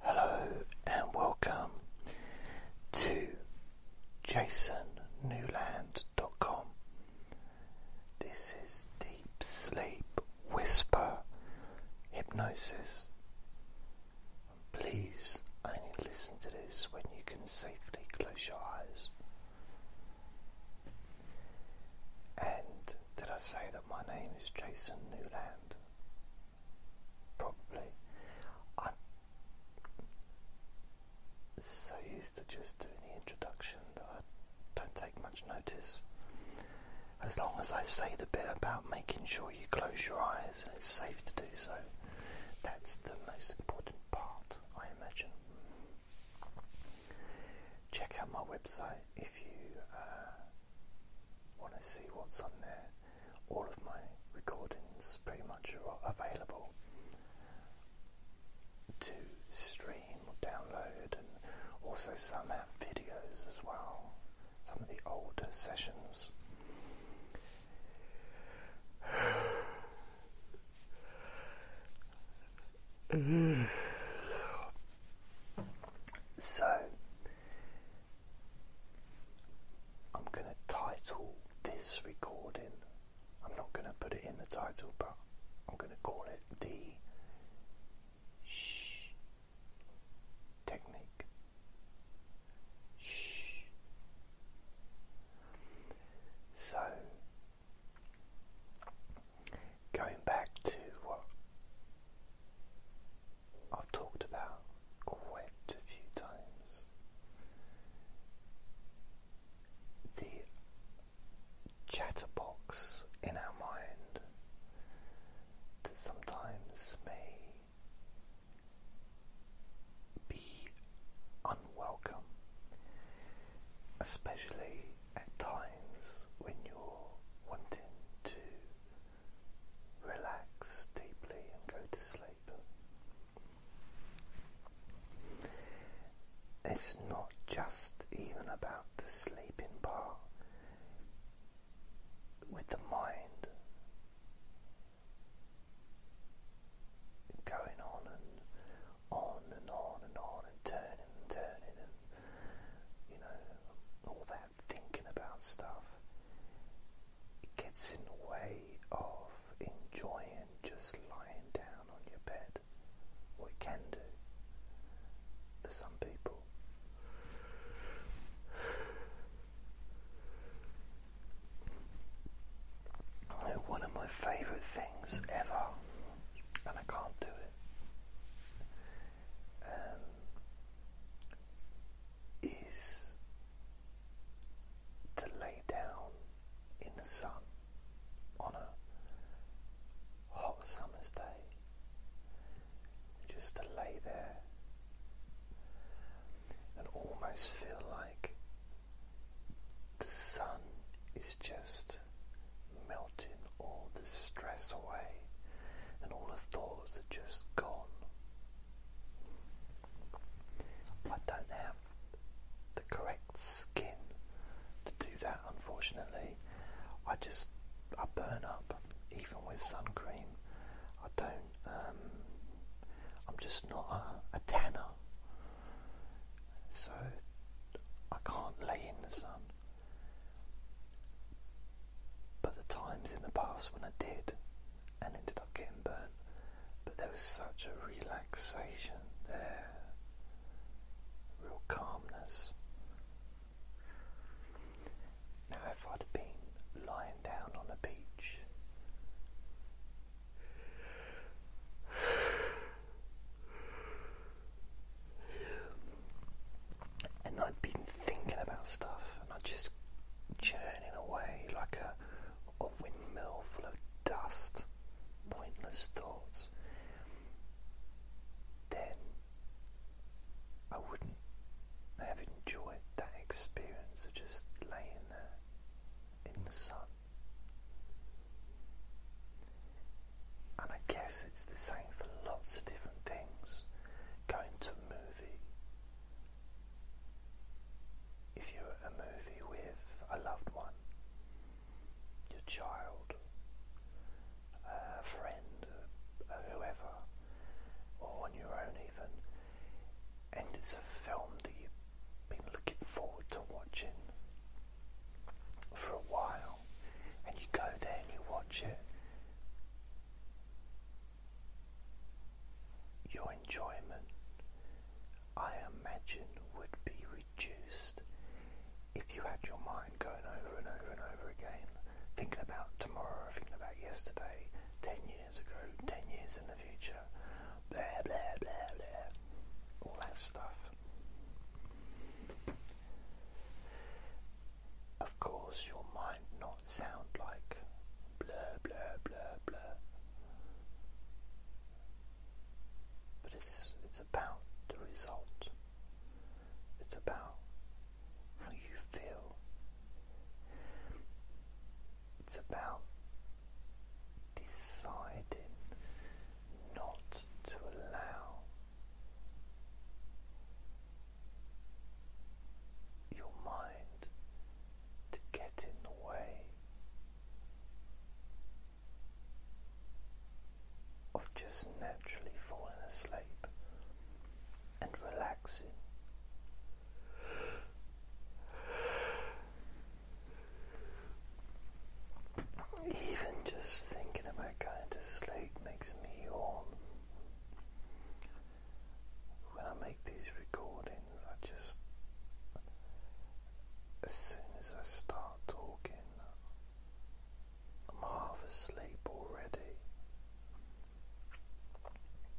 Hello and welcome to jasonnewland.com. This is Deep Sleep Whisper Hypnosis. Please only listen to this when you can safely close your eyes. And did I say that my name is Jason Newland? Probably. I'm so used to just doing the introduction that I don't take much notice. As long as I say the bit about making sure you close your eyes and it's safe to do so, that's the most important part, I imagine. Check out my website if you uh, want to see what's on there, all of my recordings pretty much are available to stream or download, and also some have videos as well, some of the older sessions. So, I'm going to title this recording, I'm not going to put it in the title, but I'm going to call it the shh technique. Shh. So, going back to what I've talked about quite a few times the chatterbox in our mind that sometimes may be unwelcome, especially at times when you're wanting to relax deeply and go to sleep. It's not just even about the sleeping part with the mind going on and on and on and on and turning and turning and you know, all that thinking about stuff, it gets in the way of enjoying just lying down on your bed. Or it can do for some people. One of my favourite things ever, and I can't do it, um, is to lay down in the sun on a hot summer's day, just to lay there and almost feel like the sun is just melting all the stress away, and all the thoughts are just gone. I don't have the correct skin to do that, unfortunately. I just I burn up even with sun cream. I don't. Um, I'm just not a tanner, so I can't lay in the sun. But the times in the past when I did and ended up getting burnt, but there was such a relaxation there, real calmness. Now, if I'd have been lying down on a beach, and I'd been thinking about stuff, and i just churning away like a, a windmill full of dust, pointless thoughts. Then I wouldn't have enjoyed that experience of just laying there in the sun. And I guess it's the same for lots of different things. Going to a movie. If you're at a movie with a loved one, your child, a friend, whoever, or on your own even, and it's a film that you've been looking forward to watching for a while and you go there and you watch it, your enjoyment, I imagine, would be reduced if you had your mind going over and over and over again, thinking about tomorrow, thinking about yesterday, 10 years ago, 10 years in the future, blah, blah, blah, blah, all that stuff. Of course, you might not sound like blur, blur, blur, blur. But it's it's about the result. It's about how you feel. It's about deciding not to allow your mind to get in the way of just naturally falling asleep and relaxing. Even just thinking about going to sleep makes me yawn. When I make these recordings, I just, as soon as I start talking, I'm half asleep already.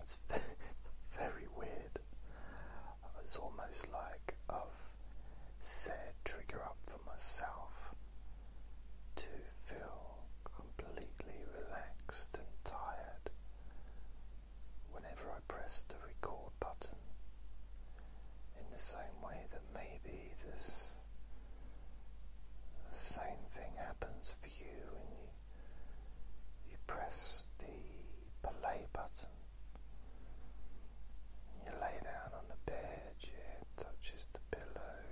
It's very, it's very weird. It's almost like I've set trigger up for myself to feel completely relaxed and tired whenever I press the record button. In the same way that maybe this same thing happens for you when you, you press the play button and you lay down on the bed edge here touches the pillow,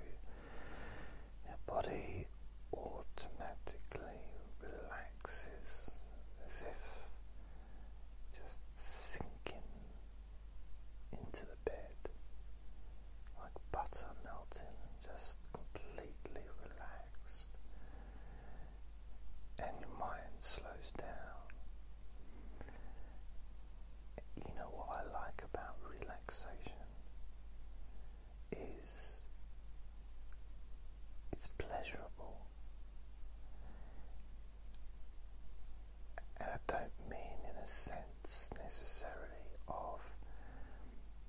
your body automatically relaxes as if just sinking into the bed like butter melting, just completely relaxed, and your mind slows down you know what I like about relaxation is it's pleasurable. And I don't mean in a sense necessarily of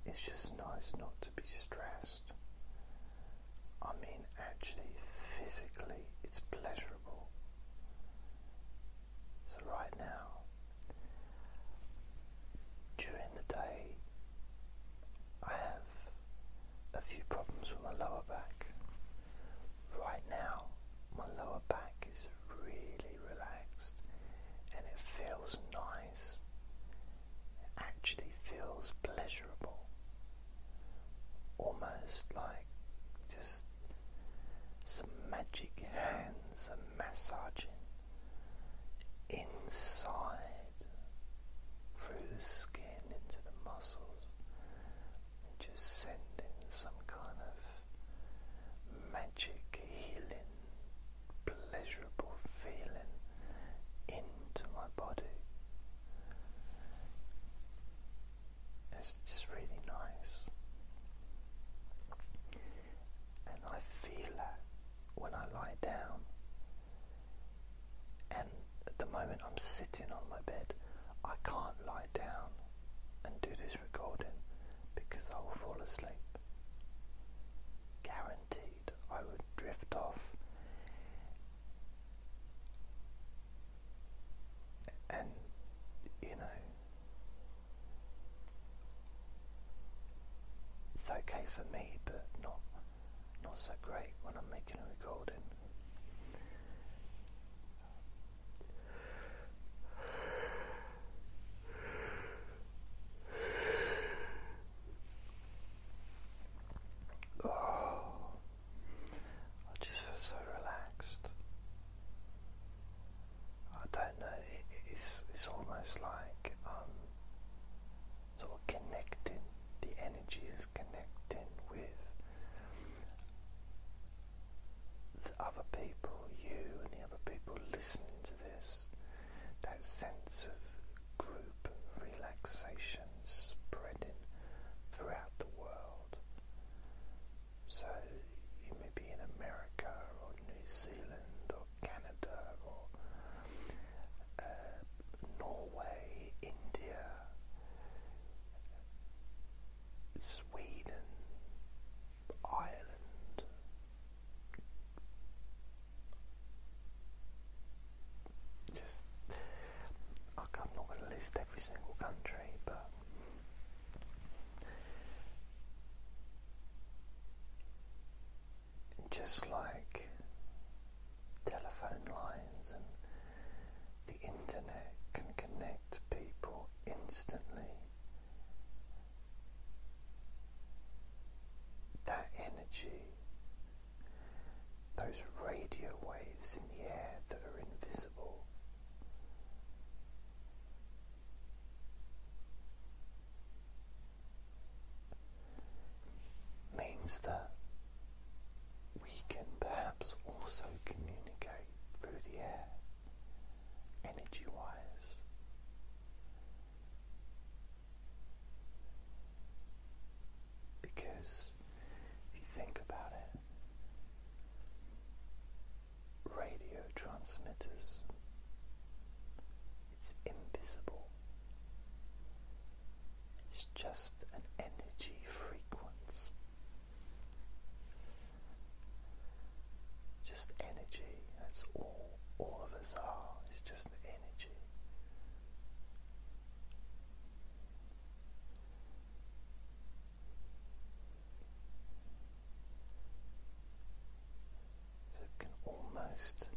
it's just nice not to be stressed. I mean, actually, physically, it's pleasurable. So, right now, during the day, I have a few problems with my lower back. Right now, my lower back is really relaxed and it feels nice. It actually feels pleasurable. Almost like just some magic hands are massaging inside through the skin into the muscles, and just sending some kind of magic healing, pleasurable feeling into my body. It's just really nice. And I feel that when I lie down. And at the moment I'm sitting on my bed, I can't lie down and do this recording because I will fall asleep. Guaranteed, I would drift off and you know, it's okay for me, but not not so great when I'm making a recording. Oh, I just feel so relaxed. I don't know. it's it's almost like um, sort of connecting. The energy is connecting with the other people, you and the other people listening to this. That sense of group relaxation spreading throughout the world. So you may be in America or New Zealand or Canada or uh, Norway, India, Sweden, Ireland. Just I'm not going to list every single country, but just like telephone lines and the internet can connect people instantly, that energy, those radio waves in the air that are invisible. Means that we can perhaps also communicate through the air, energy wise. Because if you think about it, radio transmitters, it's invisible, it's just an energy frequency. Just energy, that's all all of us are, it's just energy that can almost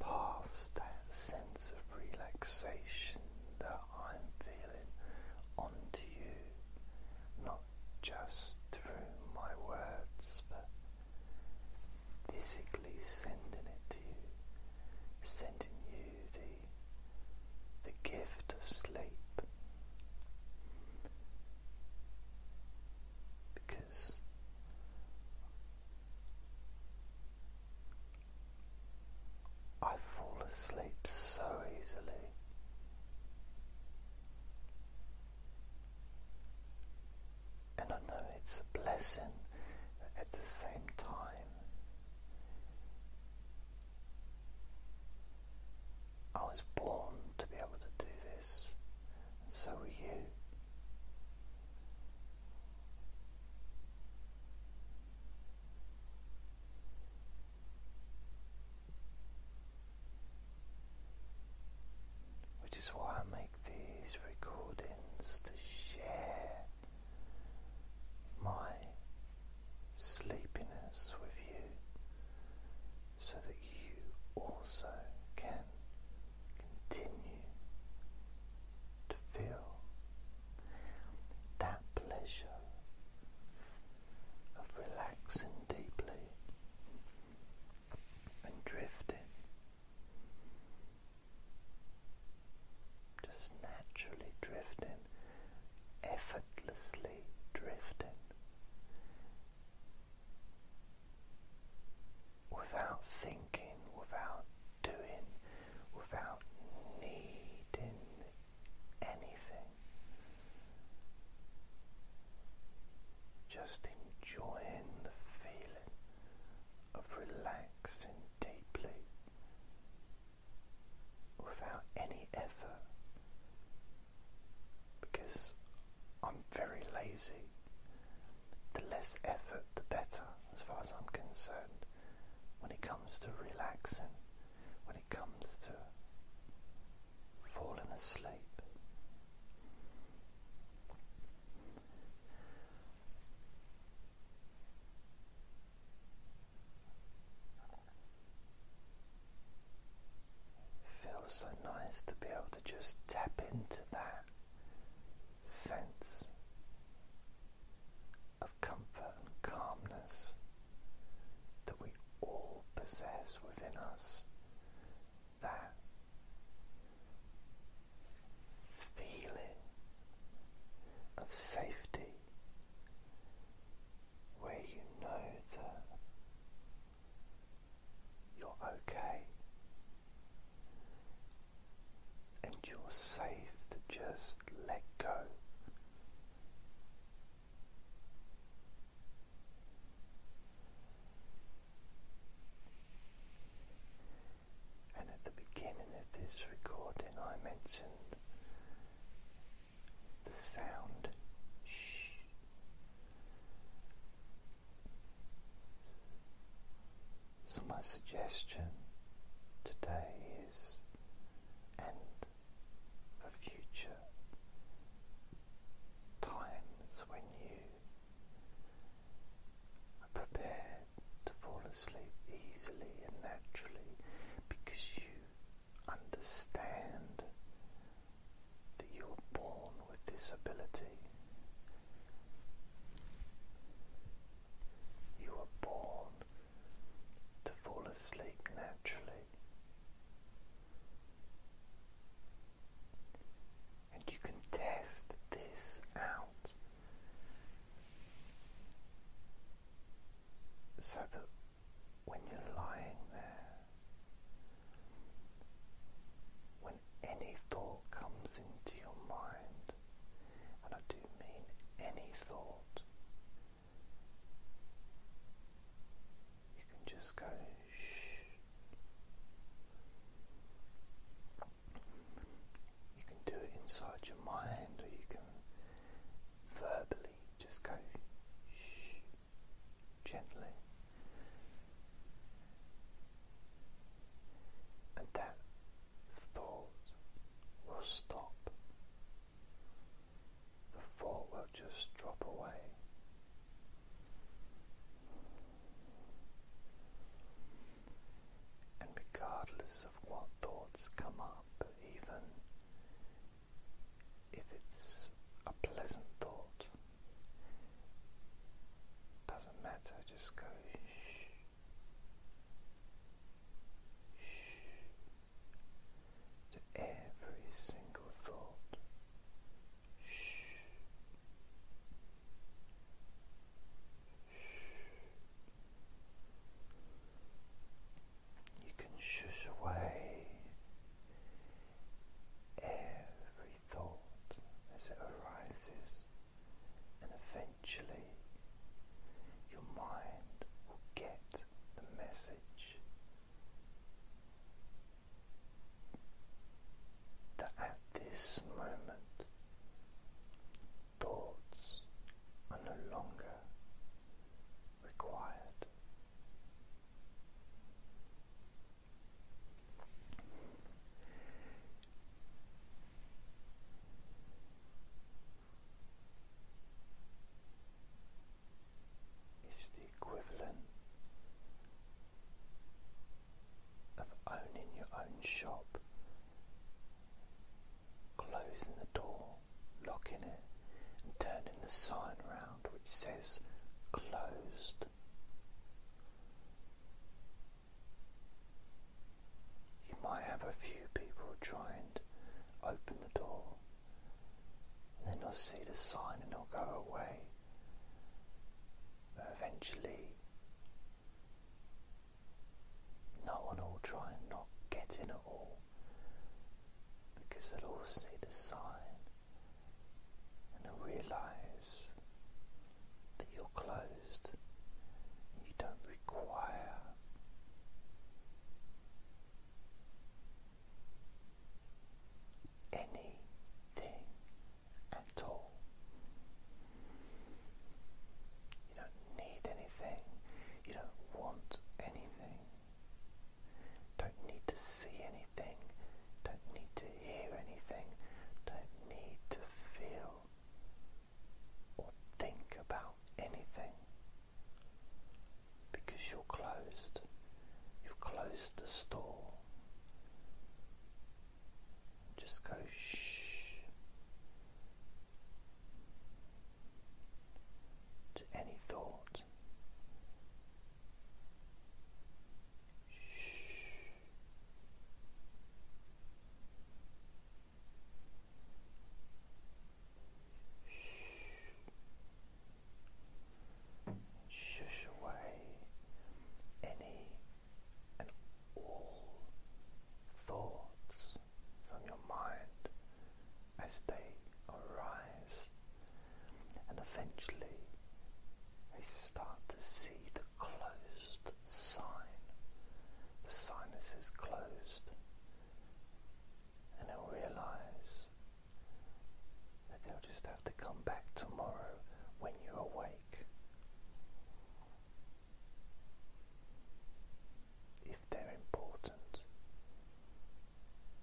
pass that sense of relaxation that I'm feeling onto you, not just through my words, but physically sending it to you, sending you the, the gift of sleep. Because I fall asleep so easily and I know it's a blessing at the same time. I was born to be able to do this, so were you. Which is why I make these recordings to share my sleepiness with you so that you also can continue to feel that pleasure of relaxing deeply and drifting just naturally drifting, effortlessly drifting, without thinking, without doing, without needing anything. Just enjoying the feeling of relaxing deeply without any effort because I'm very lazy. The less effort, the better, as far as I'm concerned, when it comes to relaxing, when it comes to falling asleep. Feels so nice to be able to just tap into that sense of comfort and calmness that we all possess within us that feeling of safety where you know that you're okay and you're safe to just let go. And at the beginning of this recording, I mentioned the sound shh. So, my suggestion today is, and for future times when you are prepared to fall asleep easily and naturally because you understand that you were born with this ability. You were born to fall asleep naturally and you can test this out so that when you're lying there, when any thought comes into your mind, and I do mean any thought, you can just go you can do it inside your mind, or you can verbally just go shh gently, and that thought will stop. The thought will just drop away. And regardless of what thoughts come up, even if it's a pleasant thought, doesn't matter, just go shh. Shh to every single thought, you can shush away every thought as it arises, and eventually your mind will get the message that at this moment thoughts are no longer required. Is the equivalent of owning your own shop, closing the door, locking it, and turning the sign around, which says closed. You might have a few people try and open the door, and then they'll see the sign and they'll go away eventually, no one will try and not get in at all because they'll all see the sign and realize that you're closed. You don't require anything and tall. You don't need anything, you don't want anything, don't need to see anything, don't need to hear anything, don't need to feel or think about anything because you're closed. You've closed the store just go shh to any thought. Shh. Shh. Shush away any and all thoughts from your mind as they arise, and eventually we start to see the closed sign. The sinus is closed, and you'll realize and they'll just have to come back tomorrow when you're awake. If they're important.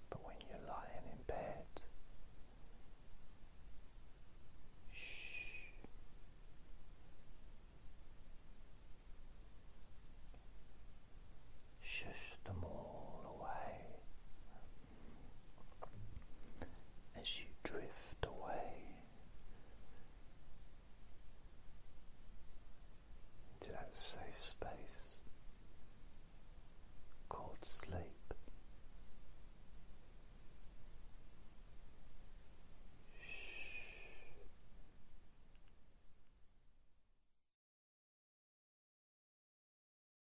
But when you're lying in bed, shh. Shush them all away as you drift away into that safe space called sleep. Shh.